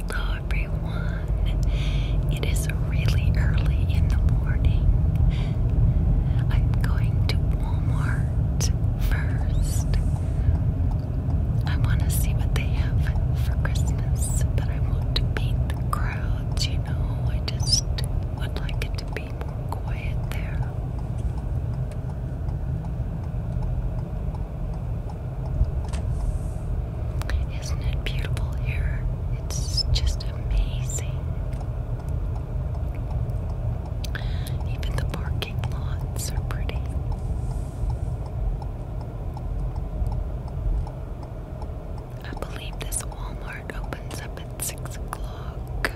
Hello, everyone. It is really early in the morning. I'm going to Walmart first. I want to see what they have for Christmas, but I want to beat the crowds, you know. I just would like it to be more quiet there. Isn't it beautiful here? It's just amazing. Even the parking lots are pretty. I believe this Walmart opens up at 6 o'clock.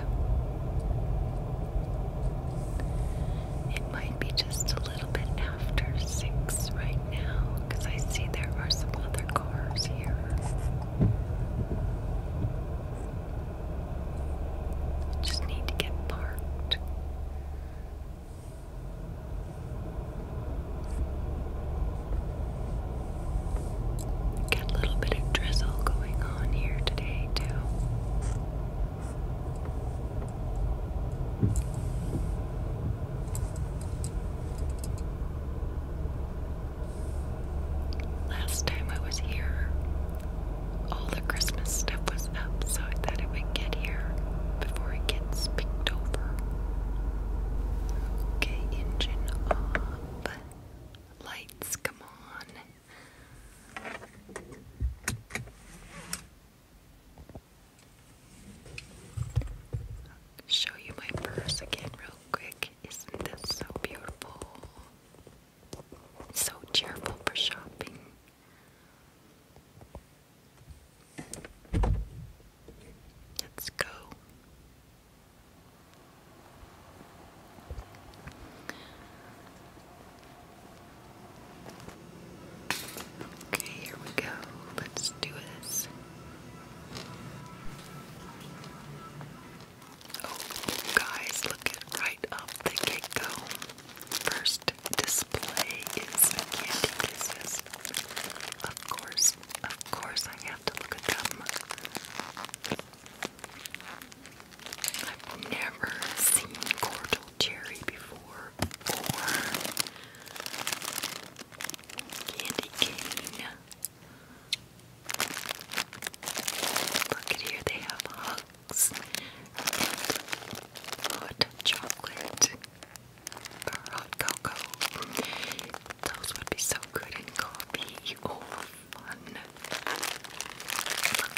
It might be just a little bit after 6 right now because I see there are some other cars here. Just need to get parked. Got a little bit of drizzle going on here today, too. Last time I was here, all the Christmas stuff was up, so I thought it would get here before it gets picked over. Okay, engine off. Lights, come on. Show you my purse again, real quick. Isn't this so beautiful? So cheerful for shopping. Let's go. Okay, here we go. Let's do this. Oh, guys, look it right up the get go. First display is candy kisses. Of course, of course, I look at them. I've never seen cordial cherry before, or candy cane. Look at here, they have hugs hot chocolate hot cocoa. Those would be so good in cold will be all fun.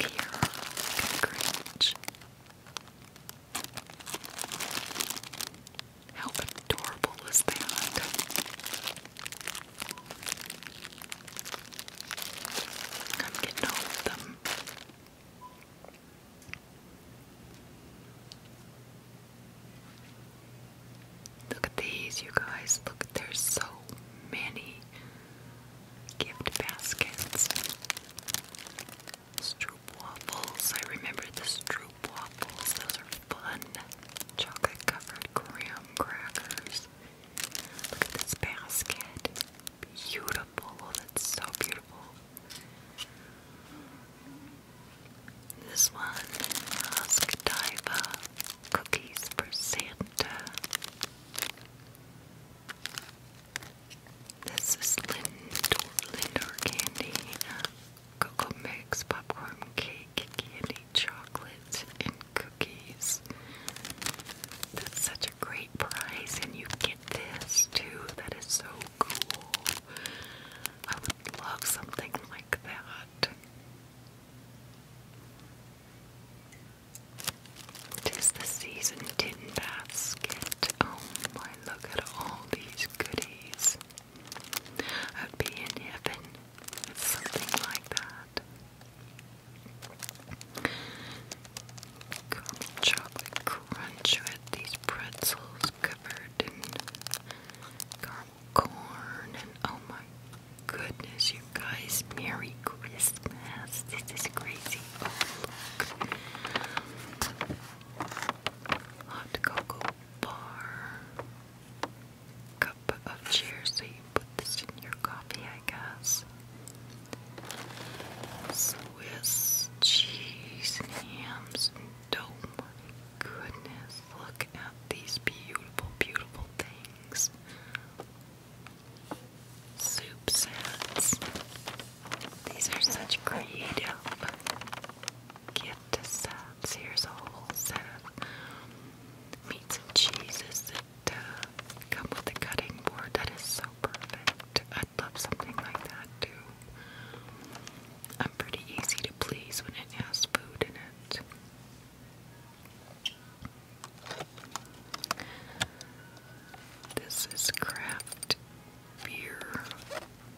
Look here, Grinch. How adorable is that? I'm getting all of them. Look at these, you guys. Look, there's so many gift baskets. Stroop I remember the stroop waffles. Those are fun. Chocolate covered graham crackers. Look at this basket. Beautiful. Oh, that's so beautiful. This one, Rusk Diva cookies for Santa. This is Lindor, Lindor candy, cocoa mix, popcorn cake, candy, chocolate, and cookies. That's such a great price, and you get this too. That is so cool. I would love something like that. Tis the season tin basket. Oh my, look at all these goodies. I'd be in heaven with something like that. chocolate crunch with these pretzels covered in caramel corn and oh my goodness you guys merry christmas this is crazy oh, hot cocoa bar cup of cheers put this in your coffee i guess swiss cheese hams and oh my goodness look look at these beautiful, beautiful things. Soup sets. These are such creative gift sets. Here's a whole set of meats and cheeses that uh, come with a cutting board. That is so perfect. I'd love something like that too. I'm pretty easy to please when it has food in it. This is craft beer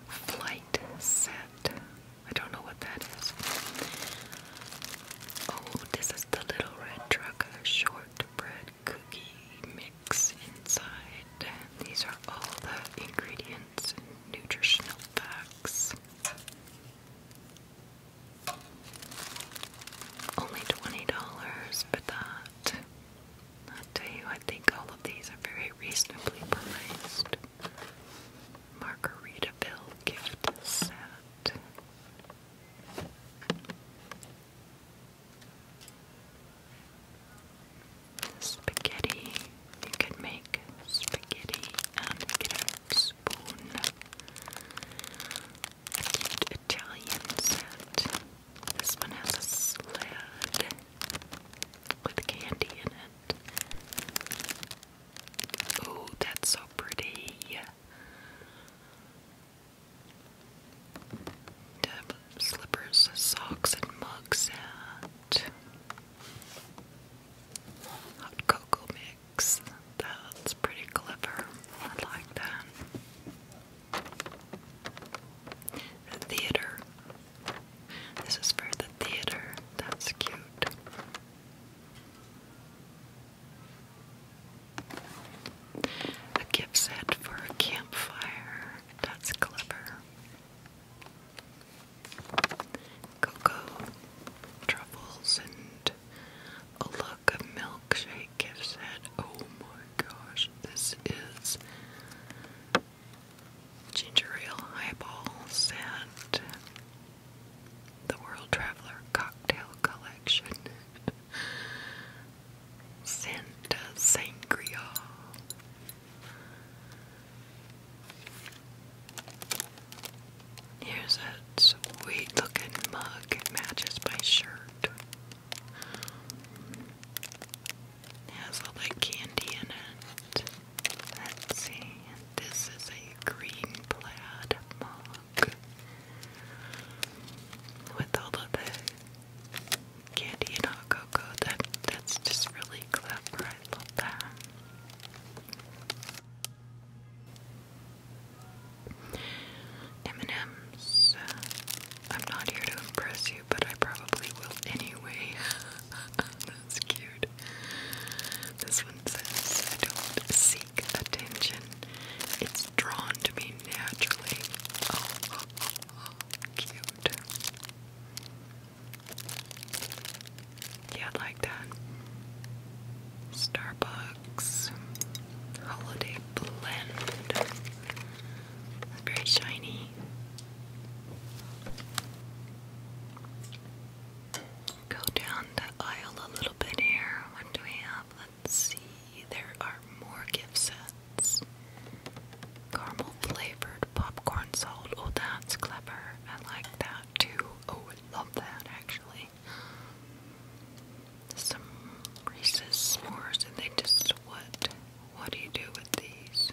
flight set. I don't know what that is. Oh, this is the little red truck shortbread cookie mix inside. These are all the ingredients and nutritional facts. Only $20 for that. I tell you, I think all of these are very reasonably priced. Margaritaville gift set. Spaghetti. You can make spaghetti and spoon. Cute Italian set. This one has a sled with candy in it. Oh, that's so pretty. slippers, socks, and mug set. Hot cocoa that's pretty clever. I like that. The theater. This is for the theater. That's cute. A gift for a campfire. That's clever cocoa truffles and a look of milkshake gives it. Oh my gosh, this is ginger ale highballs and the World Traveler Cocktail Collection. Santa Sangria. Here's a sweet looking mug. that matches my shirt. has all that candy in it. Let's see. This is a green plaid mug with all of the candy and hot cocoa. That that's just really clever m ms I'm not here to impress you, but I probably will anyway. That's cute. This one says, I don't seek attention. It's drawn to me naturally. oh. cute. Yeah, I'd like that. Starbucks Holiday Blend. It's very shiny. Go down the aisle a little bit here. What do we have? Let's see. There are more gift sets. Caramel flavored popcorn salt. Oh, that's clever. I like that too. Oh, I love that actually some Reese's s'mores, and they just what? What do you do with these?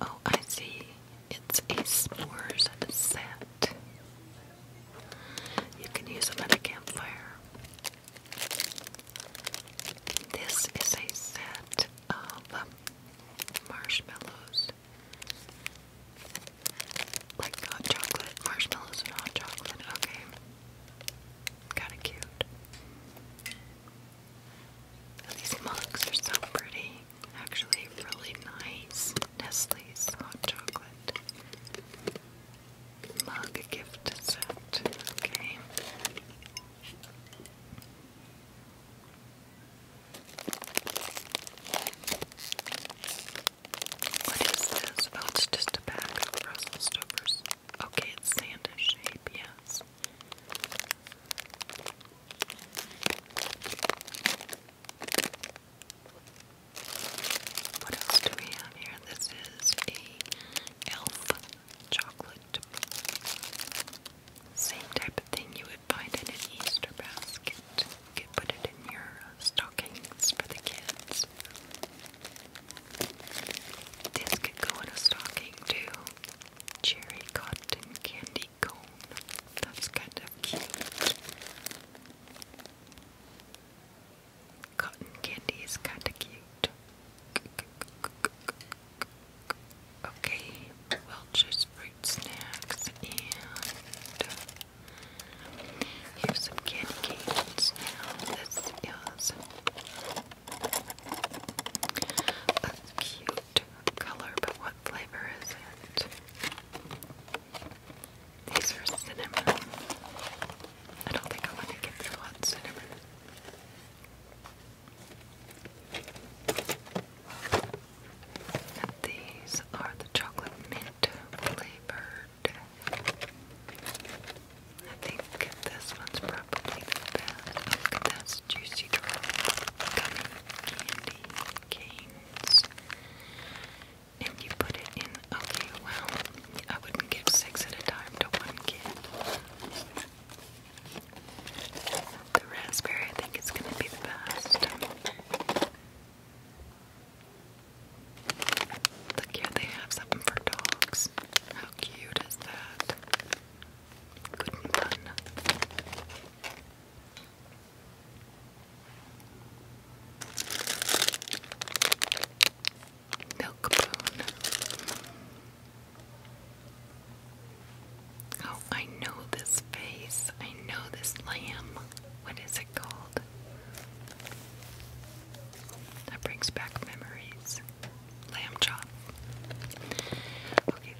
Oh, I see. It's a s'mores set. You can use them at a campfire. This is a set of marshmallows. Like hot uh, chocolate, marshmallows and hot chocolate, okay. Kinda cute. These mugs are so pretty. Actually, really nice. Nestle's hot chocolate. Mug gift set. Okay. What is this? Oh, just a bag of Brussels stuffers. Okay, it's Santa shape, yes. What else do we have here? This is a elf chocolate. Same type of thing you find it in Easter basket. You could put it in your uh, stockings for the kids. This could go in a stocking too. Cherry cotton candy cone. That's kind of cute. Cotton candy is kind of cute. Okay, Welch's fruit snacks and uh, Here's some candy canes. This is a cute color, but what flavor is it? These are cinnamon. I don't think I want to get the hot cinnamon. These are the chocolate mint flavored. I think this one's probably the best. Look juicy drop gummy And you put it in. Okay, well, I wouldn't give six at a time to one kid. The raspberry, I think, is going to be the best. Look here, they have something for dogs. How cute is that? Good and Milk bone. Oh, I know this face. I know this lamb. What is it That brings back memories. Lamb chop. Okay,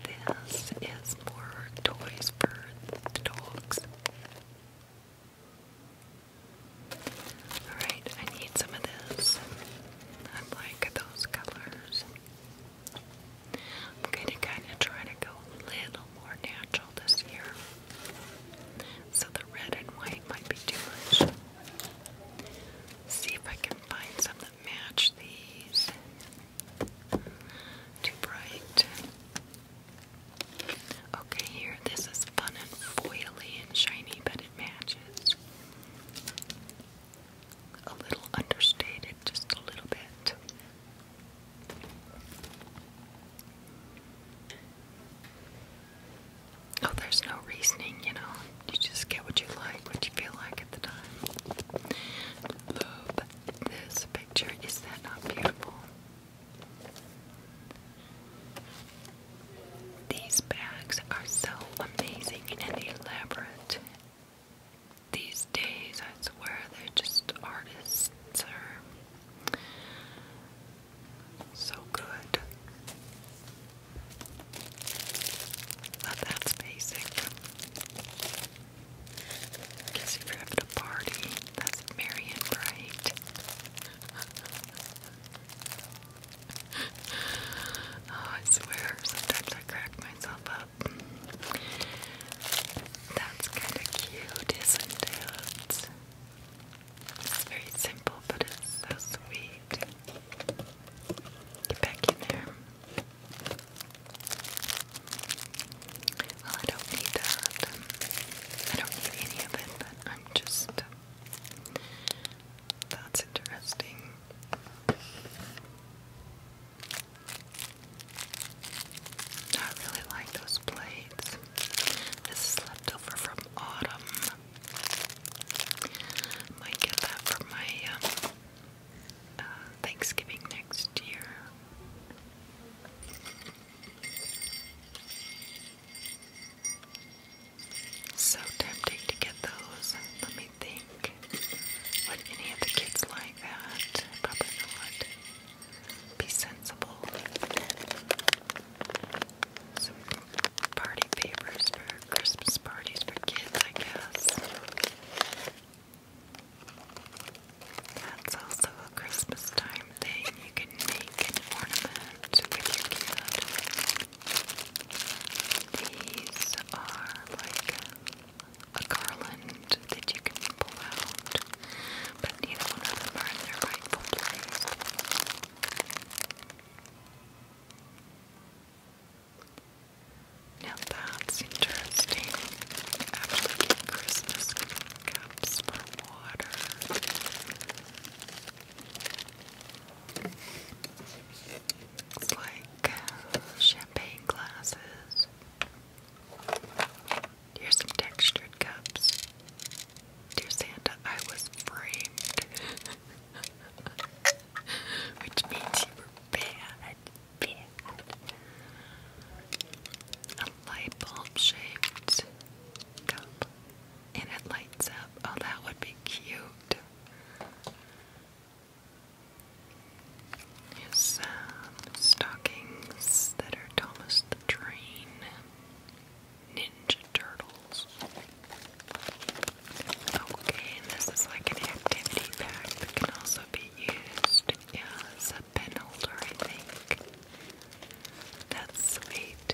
this is more toys for the dogs. Alright, I need some of this. I like those colors. I'm going to kind of try to go a little more natural this year. So the red and white might be too much. See if I can find some that match these. Too bright. Okay, here, this is fun and foily and shiny, but it matches. A little understated, just a little bit. Oh, there's no reasoning, you know. You just get what you like, what you feel like at the time. Love this picture. Is that not beautiful? These bags are so amazing and elaborate. These days, I swear, they're just artists or so good. Now that's basic. Guess you're having a party, that's merry and oh, I swear, sometimes I crack myself up. That's kind of cute, isn't it? It's very simple, but it's so sweet. Get back in there. Well, I don't need that. I don't need any of it, but I'm just. That's interesting. I really like those plates. This is left from autumn. Might get that for my um, uh, Thanksgiving next year. So tempting to get those. Let me think. Would any of the kids like that? Probably not be sensible. Some party favors for Christmas parties for kids, I guess. That's also a Christmas time thing. You can make an ornament with These are like a garland that you can pull out but none of them are their rightful place. Now that's interesting. You Christmas cups for water. It's like champagne glasses. Here's some textured cups. Dear Santa, I was framed. Which means you were bad. A light bulb shaped cup. And it lights up. Oh, that would be cute. some stockings that are Thomas the Train. Ninja Turtles. Okay, and this is like an activity pack that can also be used as a pen holder, I think. That's sweet.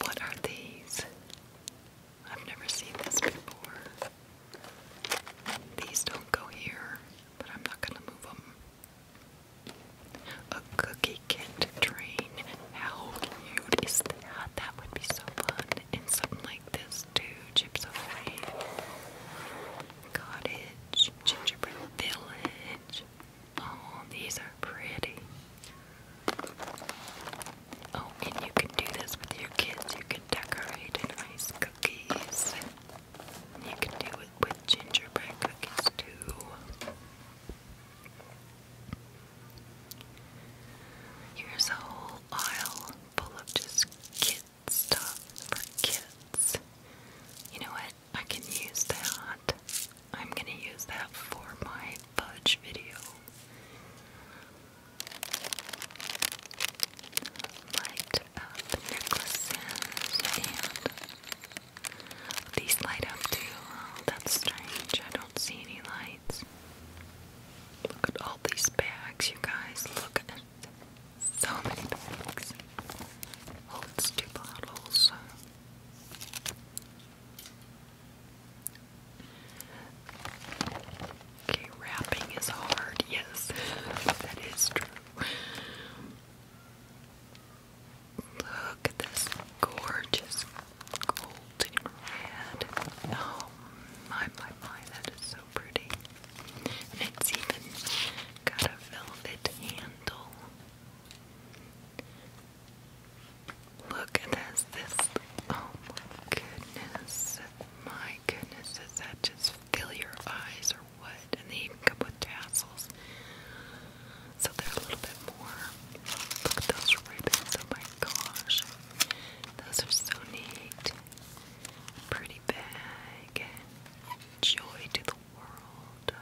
What are these? I've never seen this before. These don't go here, but I'm not going to move them. A cookie can't train. How cute is that? That would be so fun. And something like this, too. Chips Away. Cottage. Gingerbread Village. Oh, these are pretty. Oh, and you can do this with your kids. You can decorate and ice cookies. You can do it with gingerbread cookies too. Here's a whole aisle full of just kids stuff for kids. You know what? I can use that. I'm gonna use that for my fudge video light up necklaces and these light up too. Oh, that's strange. I don't see any lights. Look at all these bags, you guys. Look at so many bags. Holds oh, two bottles. Okay, rapping is hard. Yes, that is true. Look at this gorgeous golden red. Oh my, my, my, that is so pretty. And it's even got a velvet handle. Look at this. This, oh my goodness. My goodness, does that just fill your eyes or what? And they even come with tassels. So they're a little bit more. Look at those ribbons. Oh my gosh. Those are so neat. Pretty bag. Joy to the world.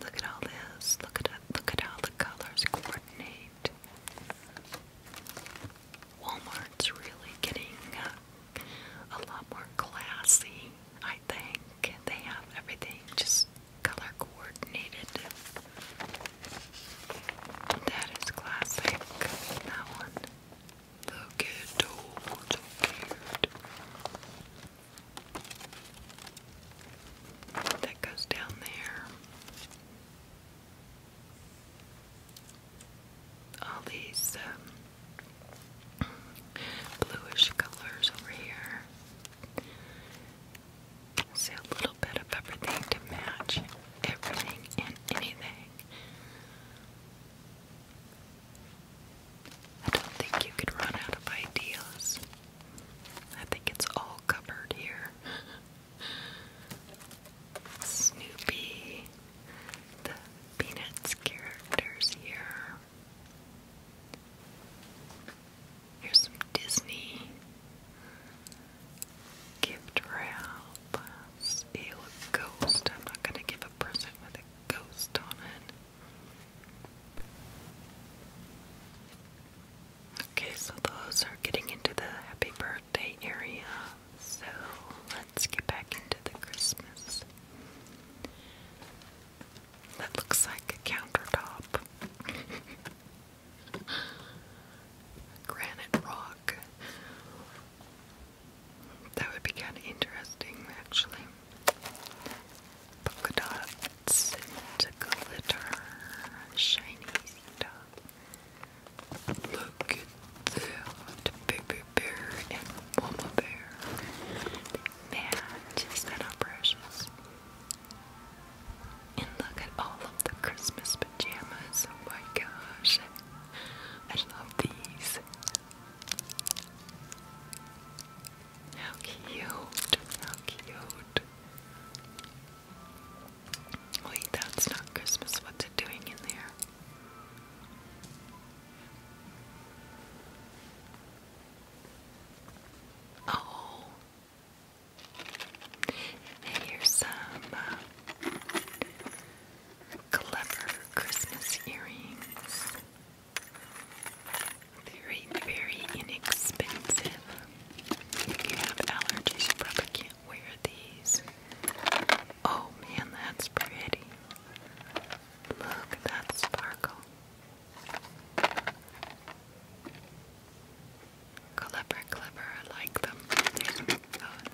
Look at all this. Look at look at how the colors coordinate. Walmart's really getting uh, a lot more classy, I think. They have everything just color coordinated. That is classic. That one. Look at so cute. That goes down there all these um, bluish colors over here. See a little bit of everything to match everything and anything. I don't think you could run out of ideas. I think it's all covered here. Snoopy, the Peanuts characters here. Here's some Disney gift wrap. Ew, a ghost. I'm not gonna give a present with a ghost on it. Okay, so those are getting into the happy birthday area. So let's get back into the Christmas. That looks like a countertop. Granite rock. That would be kind of interesting, actually. Polka dots glitter, shiny stuff. Look at that baby bear and mama bear. Man, just that precious. And look at all of the Christmas pajamas. Oh my gosh. I love these. How cute. How cute. Wait, that's not Christmas. What's it doing in there? Oh. And here's some uh, clever Christmas earrings. Very, very inexpensive. If you have allergies, you probably can't wear these. Oh man, that's pretty. Look, that sparkle. Clever, clever, I like them.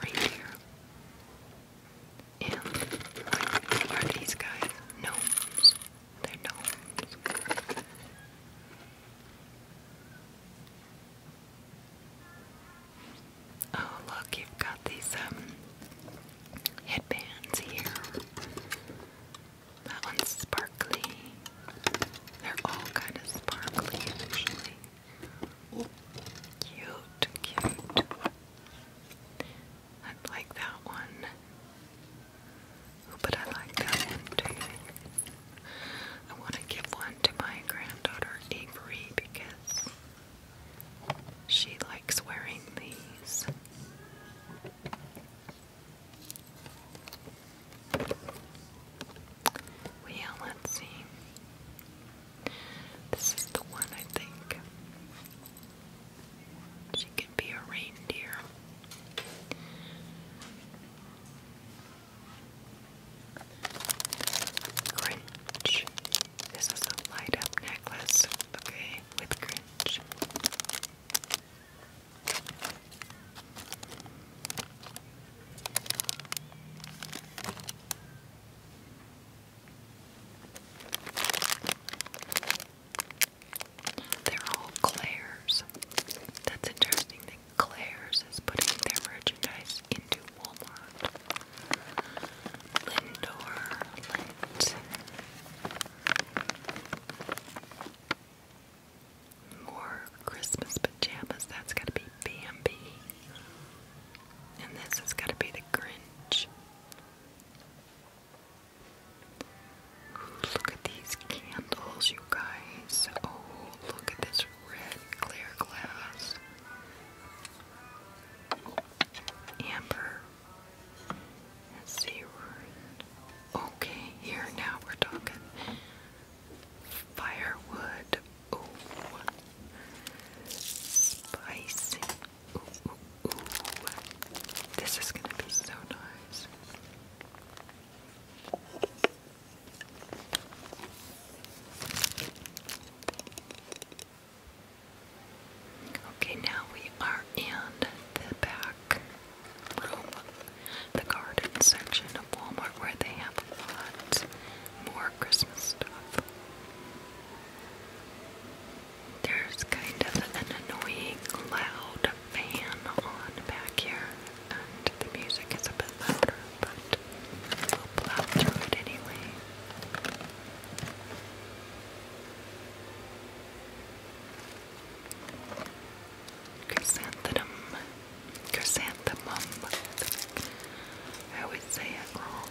right here. And what are these guys? Gnomes. They're gnomes. Oh, look, you've got these um, headbands here. That one's sparkly. They're all kind of sparkly, actually. Cute, cute. I like that one. Oh, but I like that one too. I want to give one to my granddaughter Avery because she likes wearing these. Well, let's see. This is the one I think. She could be a reindeer. Grinch. This is a light up necklace, okay, with Grinch. They're all Claire's. That's interesting. Claire's is putting their merchandise into Walmart. Lindor, Lint. More Christmas pajamas. That's gotta be Bambi. And this has gotta be the Grinch. Look at these candles, you guys. Oh, look at this red clear glass, amber, and sea Okay, here now we're talking firewood. Ooh, spicy. Ooh, ooh, ooh. This is gonna be so nice. Okay, now we are in the back room, the garden section of Walmart where they have a lot more Christmas stuff. There's kind of an annoying loud fan on back here and the music is a bit louder, but we'll plow through it anyway. Chrysanthemum. Chrysanthemum. I always say it wrong.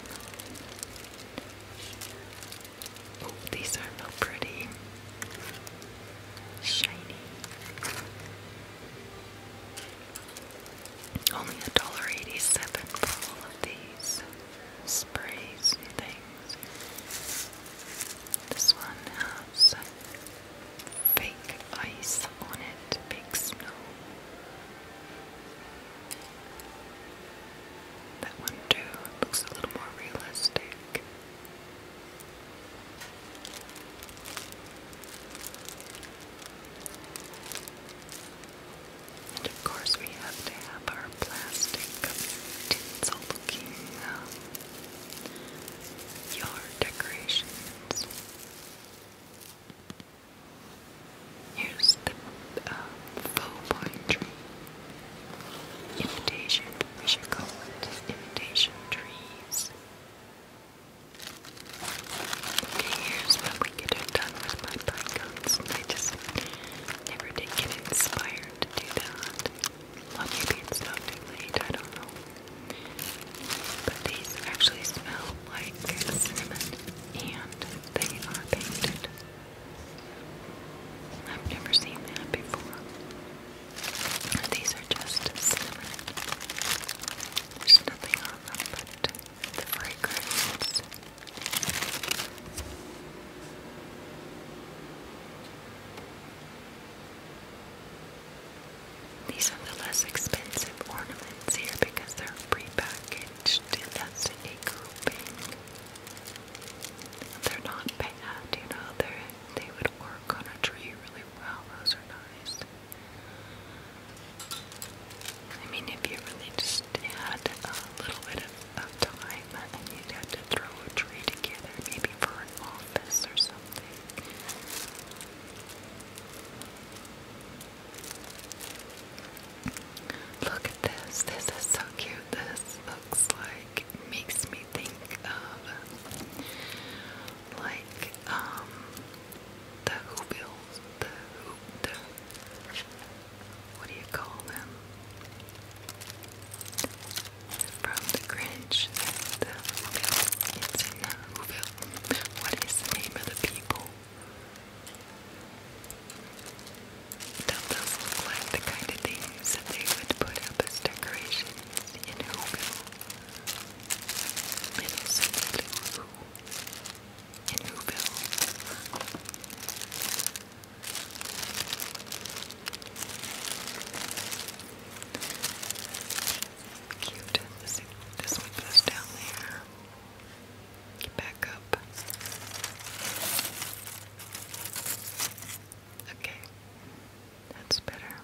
Oh, these are so pretty. Shiny. Only a dollar eighty-seven for all of these sprays and things. This one has fake ice on it, big snow. That one too looks a little more realistic. And of course we have to have our plastic tinsel looking um, yard decorations. Here's the um, faux pine tree. Imitation. We should call it imitation trees. I just never did get inspired to do that. Well, maybe it's not late, I don't know. But these actually smell like cinnamon and they are painted. I've never seen that before. These are just cinnamon. There's nothing on them, these are the less expensive ornaments here because they're prepackaged and that's a grouping. They're not bad, you know, they they would work on a tree really well. Those are nice. I mean, if you really just had a little bit of, time and you'd to throw a tree together, maybe for an office or something. Look at this. This is so cute. This looks like, makes me think of like um, the who bills, the what do you call them? From the Grinch, the It's in the Whoville. What is name of the people? That does look like the kind of things that they would put up as decorations in Whoville. Little Cindy Lou in Whoville. Cute. this one goes down there. Get back up. Okay, that's better.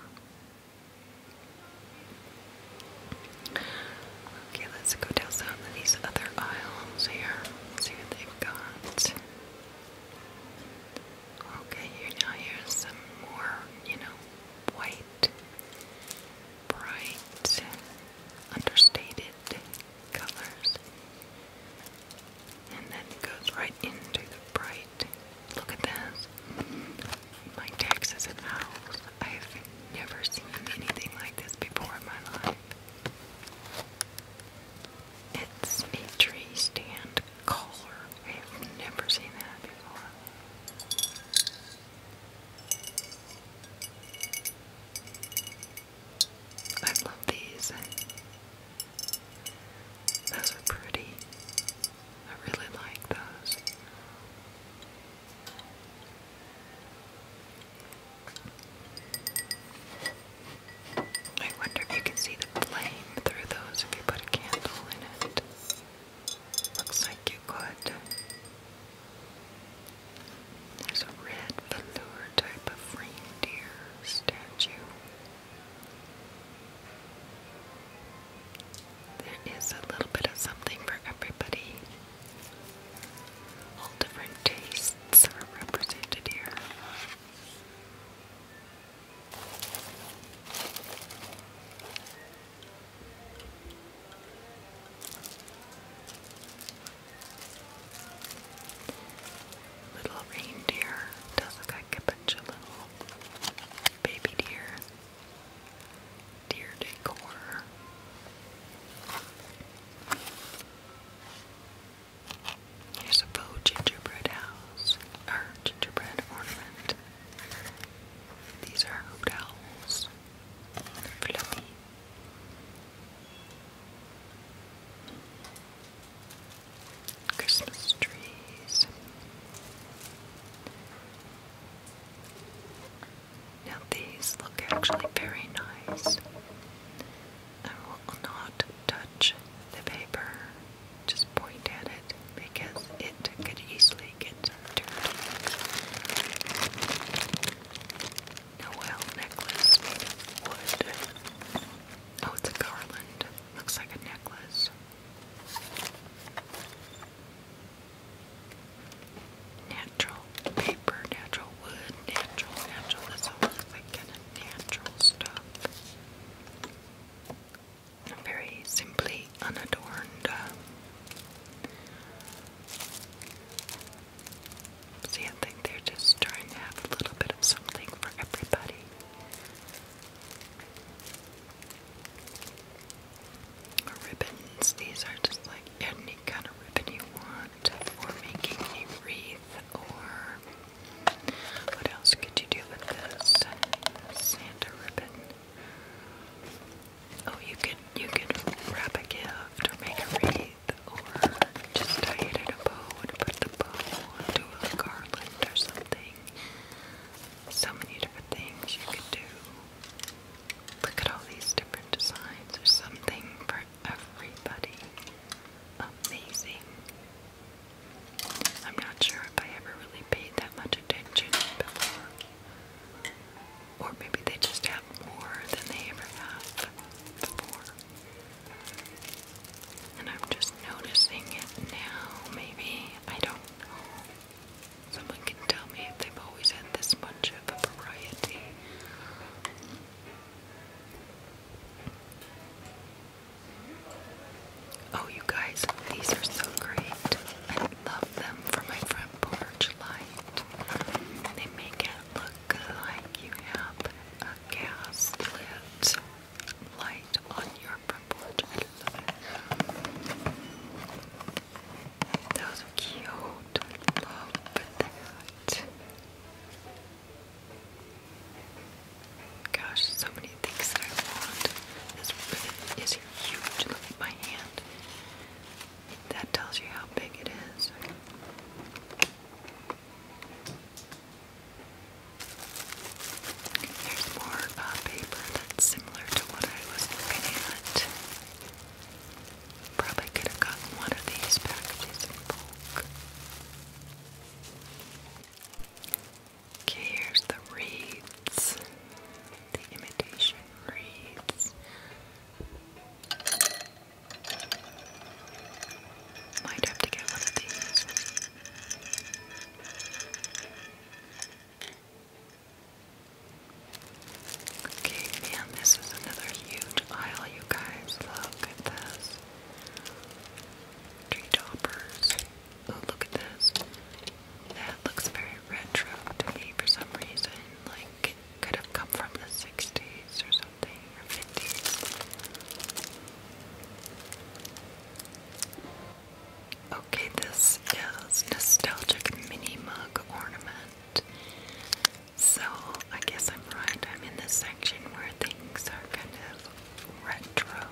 Okay, let's go down some of these other aisles here. See what they've got. Okay, here now here's some more, you know, white, bright, understated colors. And then it goes right into the bright. Look at this my taxes and owls. I have never seen anything like this before in my life. It's a tree stand collar. I have never seen that before. I love these. Those are pretty. I really like those. I wonder if you can see the flame through those if you put a candle in it. Looks like you could. There's a red velour type of reindeer statue. There is a little bit of something for everybody. All different tastes are represented here. Little reindeer does look like a bunch of little baby deer. Dear decor. Here's a bow gingerbread house, or gingerbread ornament. These are hooped owls. Fluffy. Christmas trees. Now these look actually very nice. I will not touch the paper, just point at it because it could easily get dirty. Noel necklace made of wood. Oh, it's a garland. Looks like a necklace natural paper, natural wood, natural, natural. That's all kind of natural stuff. Very simply unadorned. Uh, see, I think they're just trying to have a little bit of something for everybody ribbons. These are just like any kind of ribbon you want for making a wreath or what else could you do with this? Santa ribbon. Oh you could you could wrap a gift or make a wreath or just tie it in a bow and put the bow onto a garland or something. So many different things you could do. Look at all these different designs. There's something for everybody. Amazing. I'm not sure if I ever really paid that much attention before. Or maybe they just have more than they ever have before. And I'm just noticing it now, maybe. I don't Someone can tell me if they've always had this much of a variety. Oh, you guys, these are so great. I love them for my front porch light. They make it look like you have a gas light on your front porch. Those are cute. Love that. Gosh, so many things that I want. This ribbon is huge. Look at my hand. That tells you how big it is. There's more uh, paper that's similar to what I was looking at. Probably could have gotten one of these packages in bulk. Okay, here's the reeds. The imitation reeds. Might have to get one of these. Okay, man, this is another huge aisle, you guys. Look at this. Tree toppers. Oh, look at this. That looks very retro to me for some reason. Like, it could have come from the 60s or something, or 50s. Okay, this is nostalgic mini mug ornament. So I guess I'm right. I'm in the section where things are kind of retro.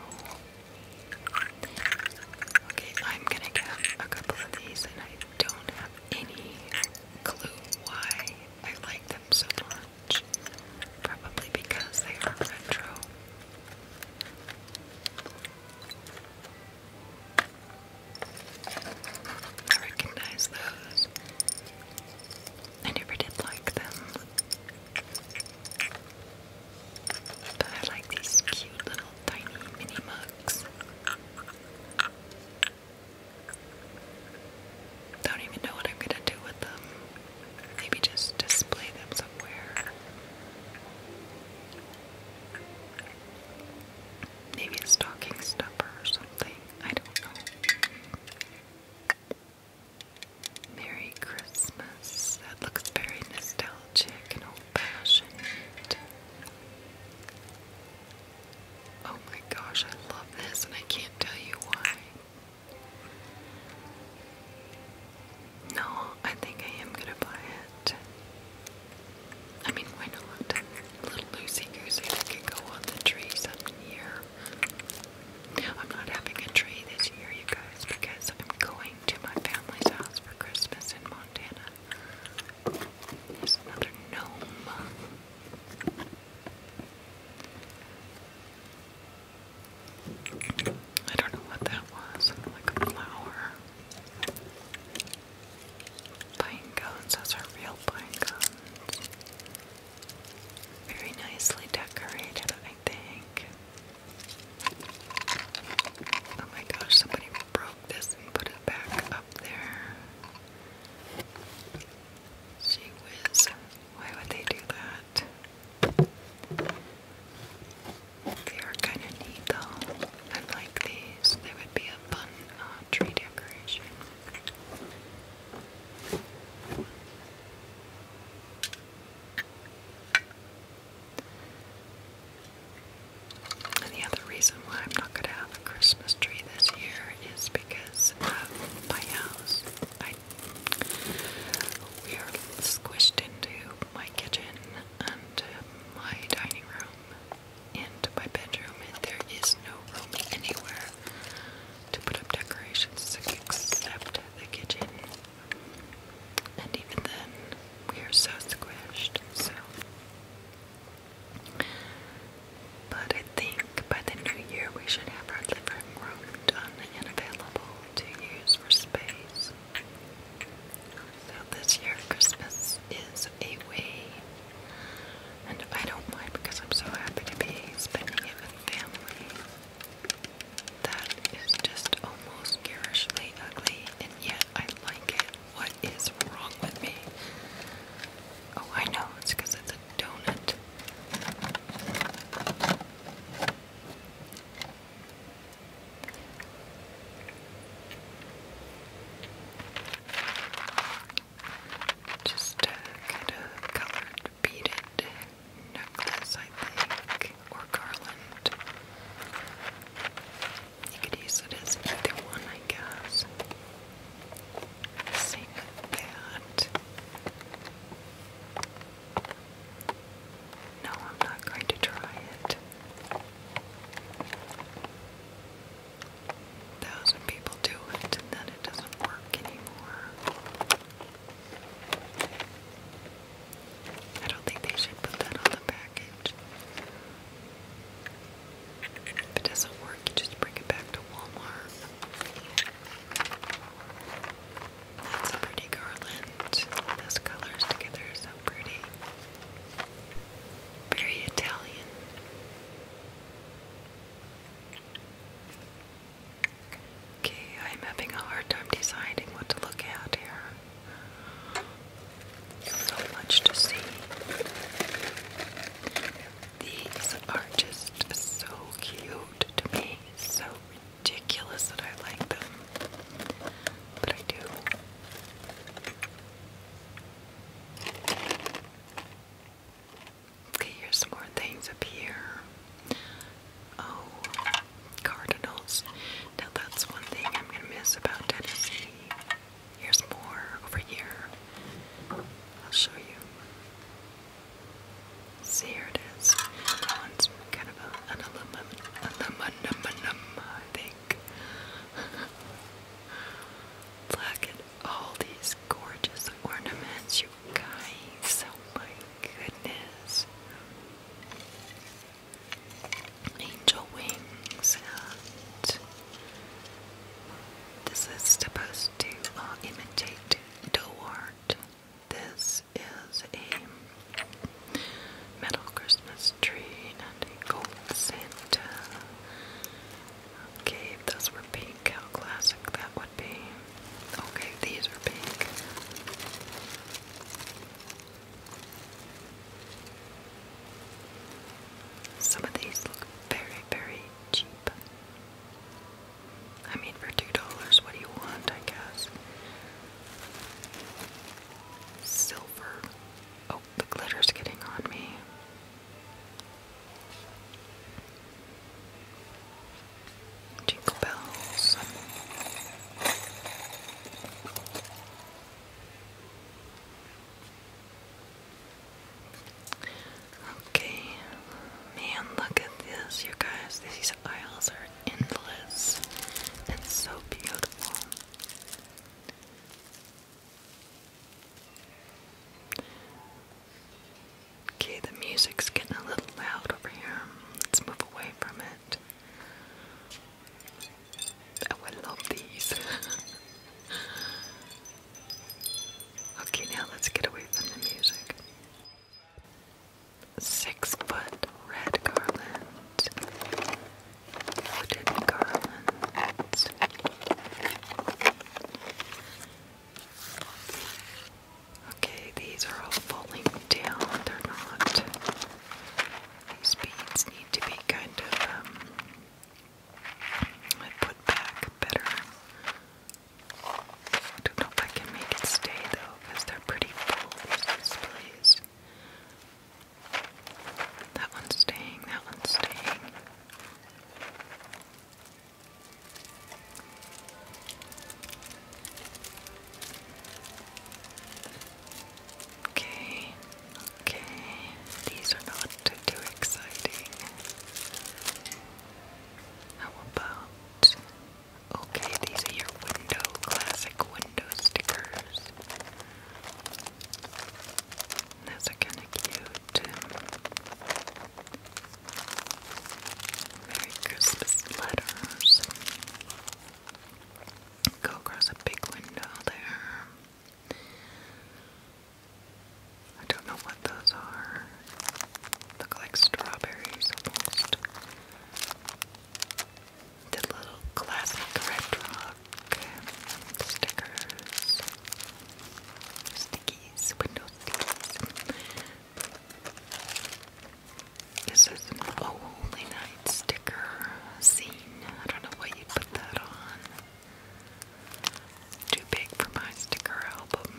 Okay, I'm gonna get a couple of these, and I don't have any clue why I like them so much. Probably because they are retro. I recognize those. I never did like them. But I like these cute little tiny mini mugs. Don't even know what I'm gonna do with them. Maybe just display them somewhere. Maybe a stocking stuffer or something. I don't know. Merry Christmas. That looks very nostalgic and old fashioned. Oh my gosh, I love this and I can't tell you why. No, I think I am gonna buy it. I mean, why not? A little Lucy goosey that could go on the tree some year. I'm not having a tree this year, you guys, because I'm going to my family's house for Christmas in Montana. There's another gnome. I don't know what that was, like a flower. Pine cones, those are real pine cones. Very nicely decorated, I think. Oh my gosh, somebody broke this and put it back up there. Gee whiz, why would they do that? They are kind of neat like there would be a fun uh, tree decoration. the other reason why I'm not going to have a Christmas tree this year is because of my house. we are squished into my kitchen and my dining room into my bedroom, and there is no room anywhere to put up decorations except the kitchen. And even then, we are so squished, so. But I think by the new year, we should have our living room done and available to use for space. So this year, Christmas is goes away. And I don't mind because I'm so happy to be spending it with family. That is just almost garishly ugly, and yet I like it. What is wrong with me? Oh, I know, it's because it's a donut. Just a kind of colored beaded necklace, I think, or garland. You could use it as either one, I guess. Same with that. No, I'm not going to try it thousand people do it and then it doesn't work anymore. I don't think they should put that on the package. If it doesn't work, you just bring it back to Walmart. That's a pretty garland. Those colors together are so pretty. Very Italian. Okay, I'm having a hard time deciding what to look at here. So much to see. These are just so cute to me, so ridiculous that I like them, but I do. Okay, here's more things up here. Oh, Cardinals. Now that's one thing I'm gonna miss about Tennessee. Here's more over here. I'll show you. See here it is. one's kind of a, an aluminum, aluminum, I think. Black all these gorgeous ornaments, you guys. Oh my goodness. Angel wings and this is supposed to uh, imitate dough art. This is a metal Christmas tree and a gold center. Okay, if those were pink, how classic that would be. Okay, these are pink. Some of these look very, very cheap. I mean, for two dollars, what do you want? I guess silver. Oh, the glitter's getting on me. Jingle bells. Okay, man, look at this, you guys. These aisles are endless. It's so beautiful. Okay, the music's getting a little loud over here. Let's move away from it. Oh, I love these. okay, now let's get away from the music. Six foot red garland. Hooded garland. Okay, these are all falling down. They're not. These beads need to be kind of um, put back better. I don't know if I can make it stay though, they're pretty full, these displays. That one's staying, that one's staying. Okay, okay, these are not too exciting. How about okay, these are your window classic window stickers. Those kinda cute. Merry Christmas letters. Go across a big window there. I don't know what those are. Look like strawberries almost. The little classic red stickers. Stickers, window stickies. This is an Holy Night sticker scene. I don't know what you put that on. Too big for my sticker album.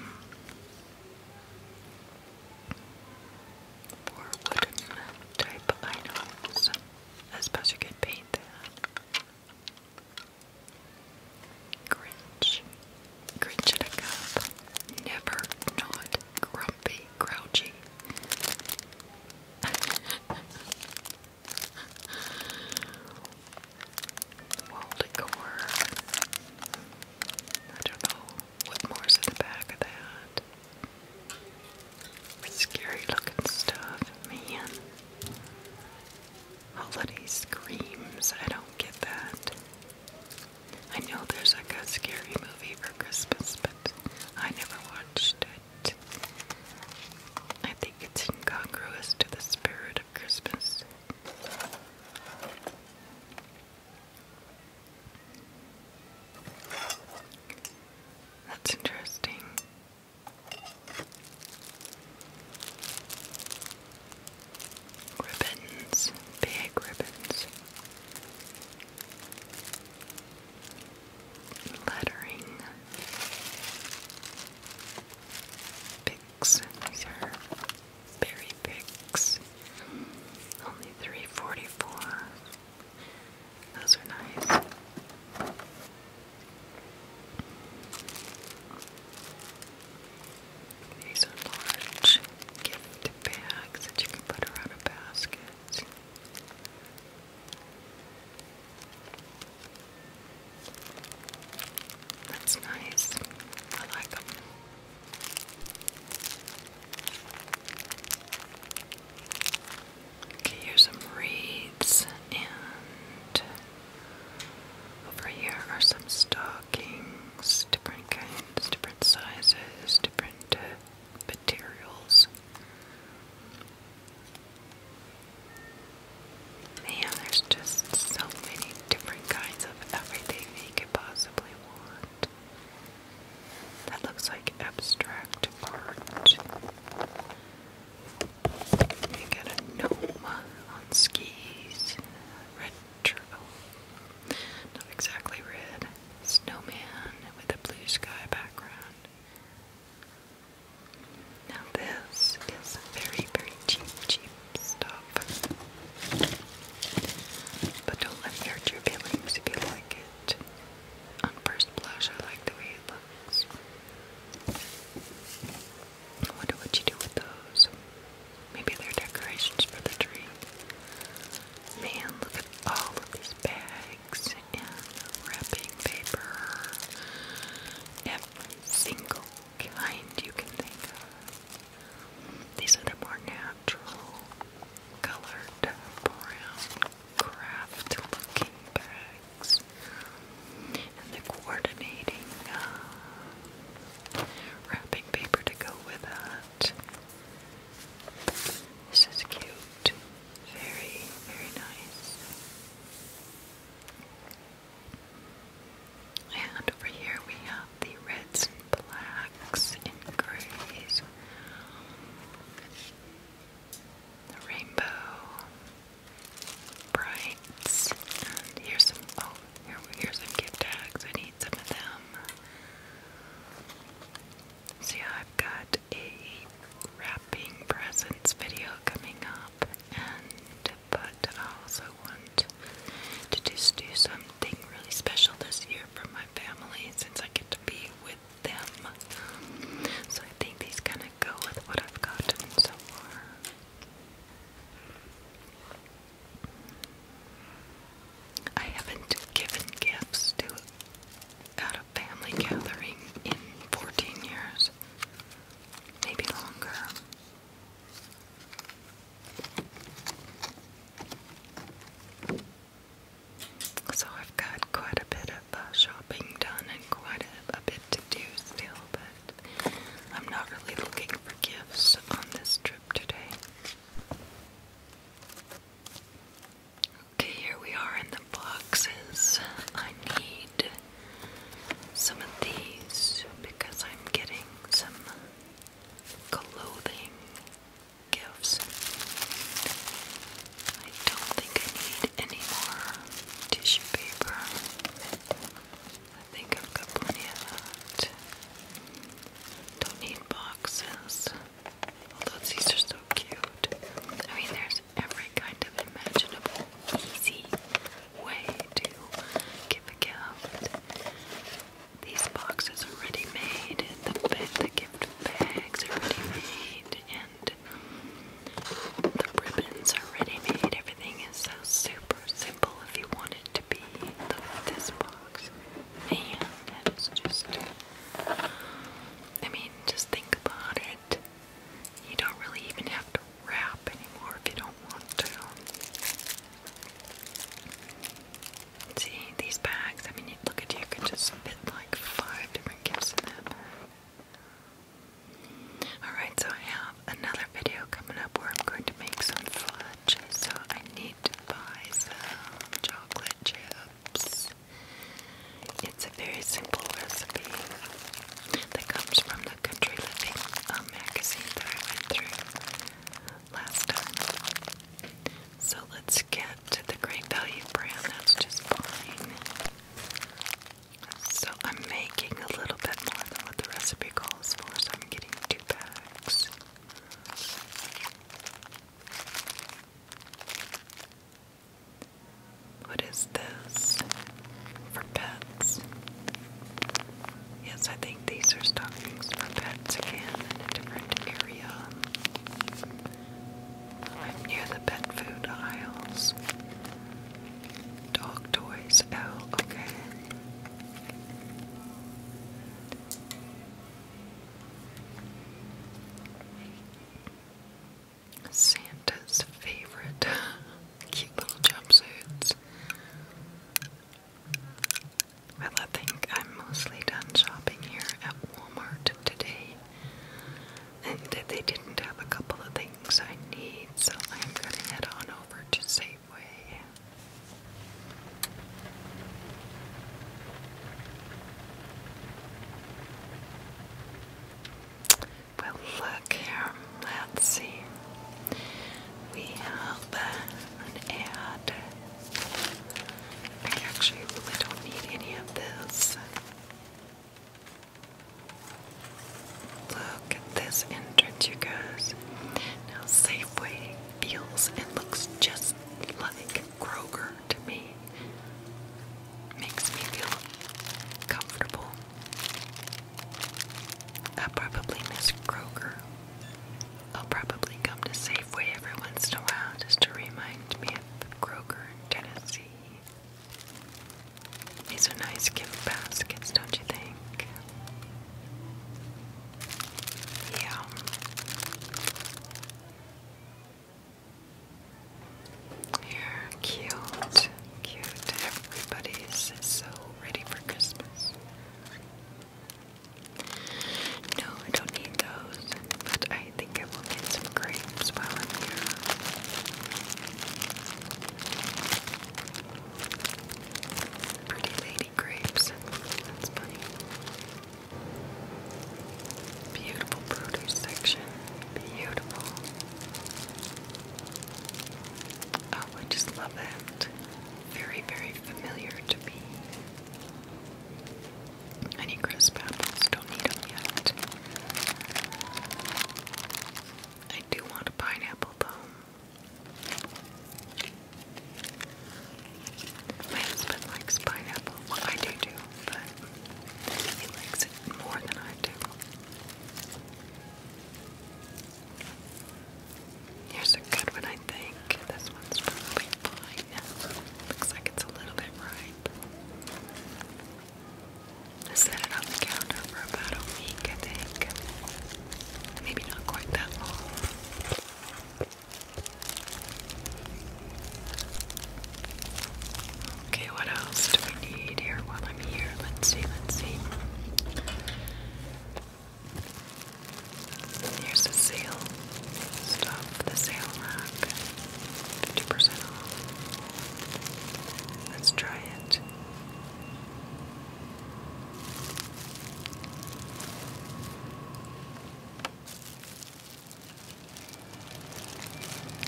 For wooden type items. I suppose you could paint that. Grinch. Grinch in a cup. Never not grumpy, grouchy. Wall decor. I don't know what more's in the back of that. Scary looking stuff, man holiday screams. I don't get that. I know there's like a scary movie for Christmas, but I never watched it. I think it's incongruous to the spirit of Christmas. That's interesting. Ribbons, big ribbons, lettering, picks. These are berry picks. Only three forty-four. Those are nice. These are large gift bags that you can put around a basket. That's nice. I like them. Okay, here's some wreaths and over here are some stockings, different kinds, different sizes, different uh, materials. Man, there's just so many different kinds of everything that could possibly want. That looks like abstract art. You got a gnome on skis. Red oh, Not exactly red. Snowman with a blue sky background. Now this is very, very cheap, cheap stuff. But don't let me hurt your feelings if you like it. On like the way it looks. I wonder what you do with those. Maybe they're decorations for the tree. Man, look at all of these bags and wrapping paper. Every single kind you can think of. These are the more natural, colored, brown, craft looking bags and the coordinating uh, wrapping paper to go with that. This is cute. Very, very nice. And over here we have the reds and blacks and grays. rainbow brights. here's some, oh, here's some gift tags. I need some of them. So I've got a wrapping presents video coming up. And, but I also want to just do something really special this year for my family since I get to be with them. So I think these kind of go with what I've gotten so far. I haven't given gifts to a family gathering in 14 years, maybe longer. So I've got quite a bit of uh, shopping done and quite a bit to do still, but I'm not really looking for gifts on this trip today. Okay, here we are in the boxes. I need some of these because I'm getting some clothing gifts. I don't think I need any more tissue paper. I think I've got plenty of that. Don't need boxes. Although these are so cute. I mean, there's every kind of imaginable, easy way to give a gift. These boxes are ready made, and the, gift bags are ready made, and the ribbons are ready made. Everything is so super simple if you want to be the, this box. And it's just, I mean, just think about it. You don't really even have to wrap anymore if you don't want to. See, these bags, I mean, you look at you, could just fit like five different gifts in that Alright, so I have another video coming up where I'm going to make some fudge, so I need to buy some chocolate chips. It's a very simple recipe that comes from the Country Living um, magazine that I went through last time. So let's get to the Great Value brand that's just fine. So I'm making a little bit more than what the recipe calls for, so i getting two bags. What is this? For pets. Yes, I think these are stockings for pets again in a different area. I'm near the pet food aisles. Dog toys. Oh, okay. Santa's favorite cute little jumpsuits. Well, I think I'm mostly done shopping here at Walmart today. And they didn't have a couple of things I need, so I'm gonna head on over to Safeway. Well, look here. Let's see. We have an ad. I actually really don't need any of this. Look at this entrance, you guys. Now, Safeway feels and looks just like Kroger to me. Makes me feel comfortable. I probably miss Kroger. I'll probably come to Safeway every once in a while just to remind me of Kroger in Tennessee. These are nice gift baskets, don't you think? Yeah. You're cute, cute. Everybody's so ready for Christmas. No, I don't need those, but I think I will get some grapes while I'm here. Pretty lady grapes. That's funny. Beautiful produce section. Beautiful. Oh, I just love that. Very, very familiar to me. Any crisp apples? Don't need them yet. I do want a pineapple, though. My husband likes pineapple. Well, I do too, but he likes it more than I do. Here's a good one, I think. This one's probably fine. Looks like it's a little bit ripe. I set it on the counter for about a week, I think. Maybe not quite that long. Okay, what else do we need here while I'm here? Let's see, let's see. Here's the sale stuff, the sale rack. 50% off. Let's try it.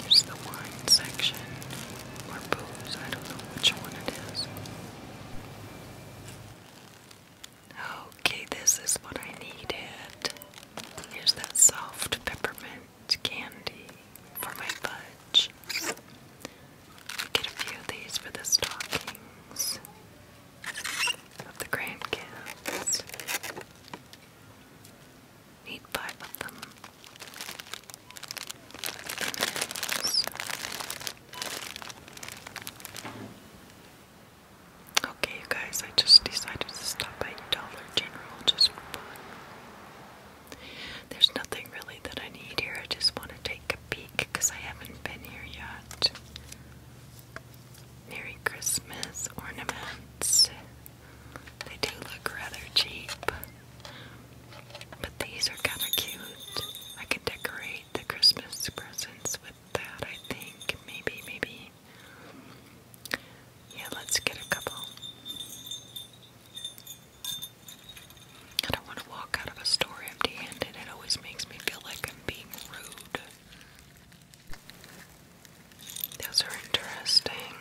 Is the wine section or booze, I don't know which one it is. Okay, this is what I needed. Here's that soft peppermint candy for my fudge. Get a few of these for the stockings of the grandkids. Need five them. Okay, you guys, I just decided to stop by Dollar General just There's nothing really that I need here. I just wanted to take a peek because I haven't been here yet. Merry Christmas ornaments. They do look rather cheap, but these are kind of cute. I could decorate the Christmas presents with that, I think. Maybe, maybe. Yeah, let's get a couple. I don't want to walk out of a store empty handed. It always makes me feel like I'm being rude. Those are interesting.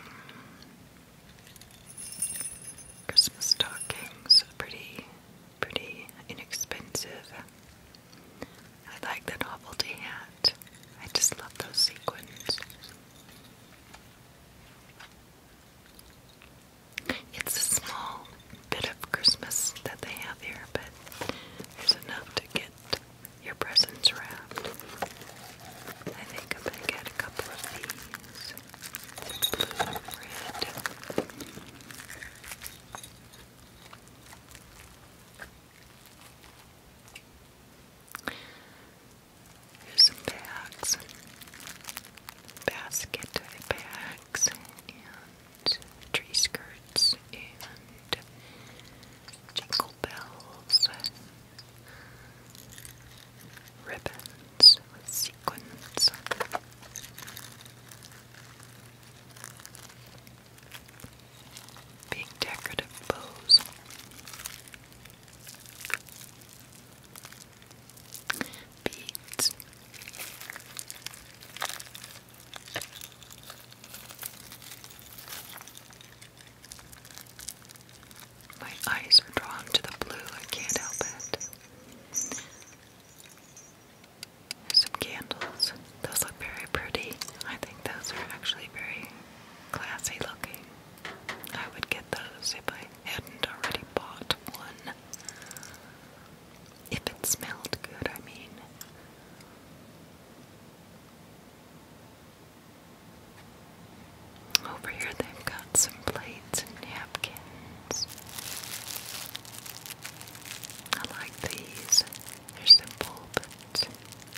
Christmas stockings are pretty, pretty inexpensive. I like the novelty hat. I just love those sequins. It's a small bit of Christmas that they have here, but there's enough to get your presents wrapped. I think I'm going to get a couple of these. Blue and red. some bags. Basket bags. And tree skirts and jingle bells, ribbons sequins. Big decorative bows. My eyes are drawn to the blue, I can't help it. some candles. Those look very pretty. I think those are actually very classy looking. I would get those if I hadn't already bought one. If it smelled good, I mean. Over here, they've got some plates and napkins. I like these. They're simple but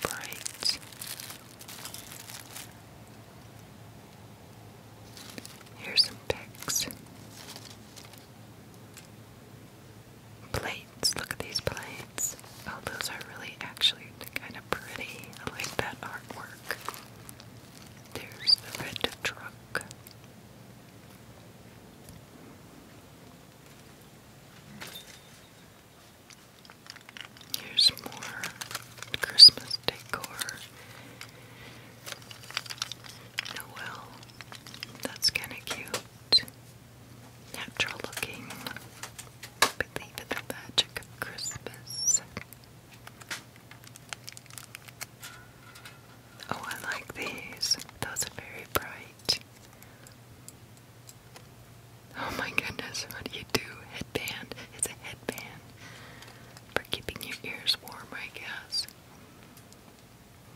bright. Here's some picks. Plates. Look at these plates. Oh, those are really actually kind of pretty. I like that artwork. There's the red truck. Here's more Christmas decor. Oh well, that's kind of cute. Natural looking. Believe in the magic of Christmas. Oh, I like these. Those are very bright. Oh my goodness, what do you do? Headband. It's a headband for keeping your ears warm, I guess.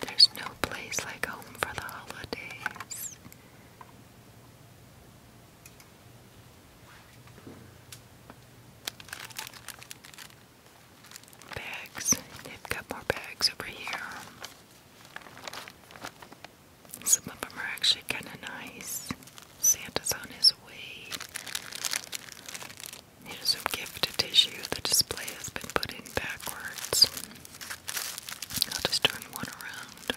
There's no place like home for the holidays. Bags. They've got more bags over here. Some of them are actually kind of nice. Santa's on his way. Here's gift gifted tissue. The display has been put in backwards. I'll just turn one around.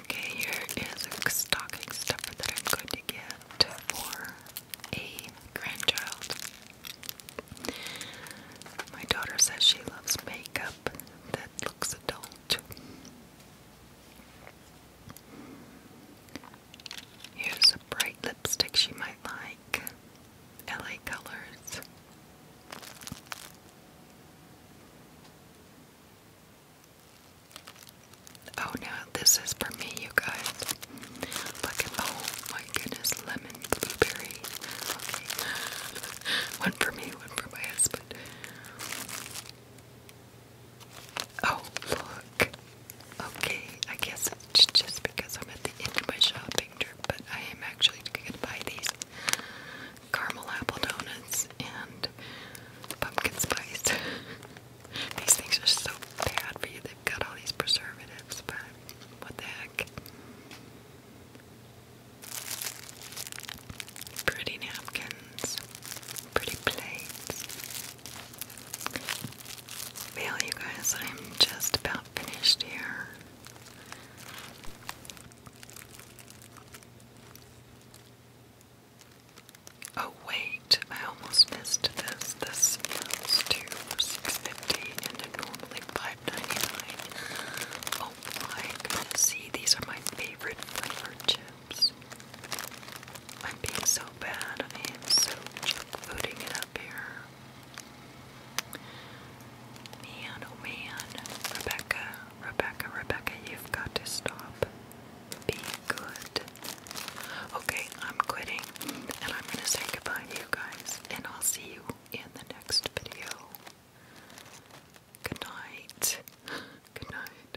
Okay, here is a stocking stuffer that I'm going to get for a grandchild. My daughter says she loves makeup that looks adult. Here's a bright lipstick she might like. LA Colors. Oh, now this is for me, you guys. oh my goodness, lemon blueberry. One for me, one for my husband. Oh, look. Okay, I guess it's just because I'm at the end of my shopping trip, but I am actually going to buy these caramel apple donuts and pumpkin spice. these things are so bad for you. They've got all these preservatives, but what the heck? pretty napkins, pretty plates. Well, you guys, I'm just about finished here. Oh wait, I almost missed this. This amounts to six fifty and normally five ninety nine. Oh my goodness, see these are my favorite flavored chips chips. I'm being so bad. I am so junk it up here. Man, oh man. Rebecca, Rebecca, Rebecca, you've got to stop. Be good. Okay, I'm quitting and I'm going to say goodbye to you guys, and I'll see you in the next video. Good night. Good night.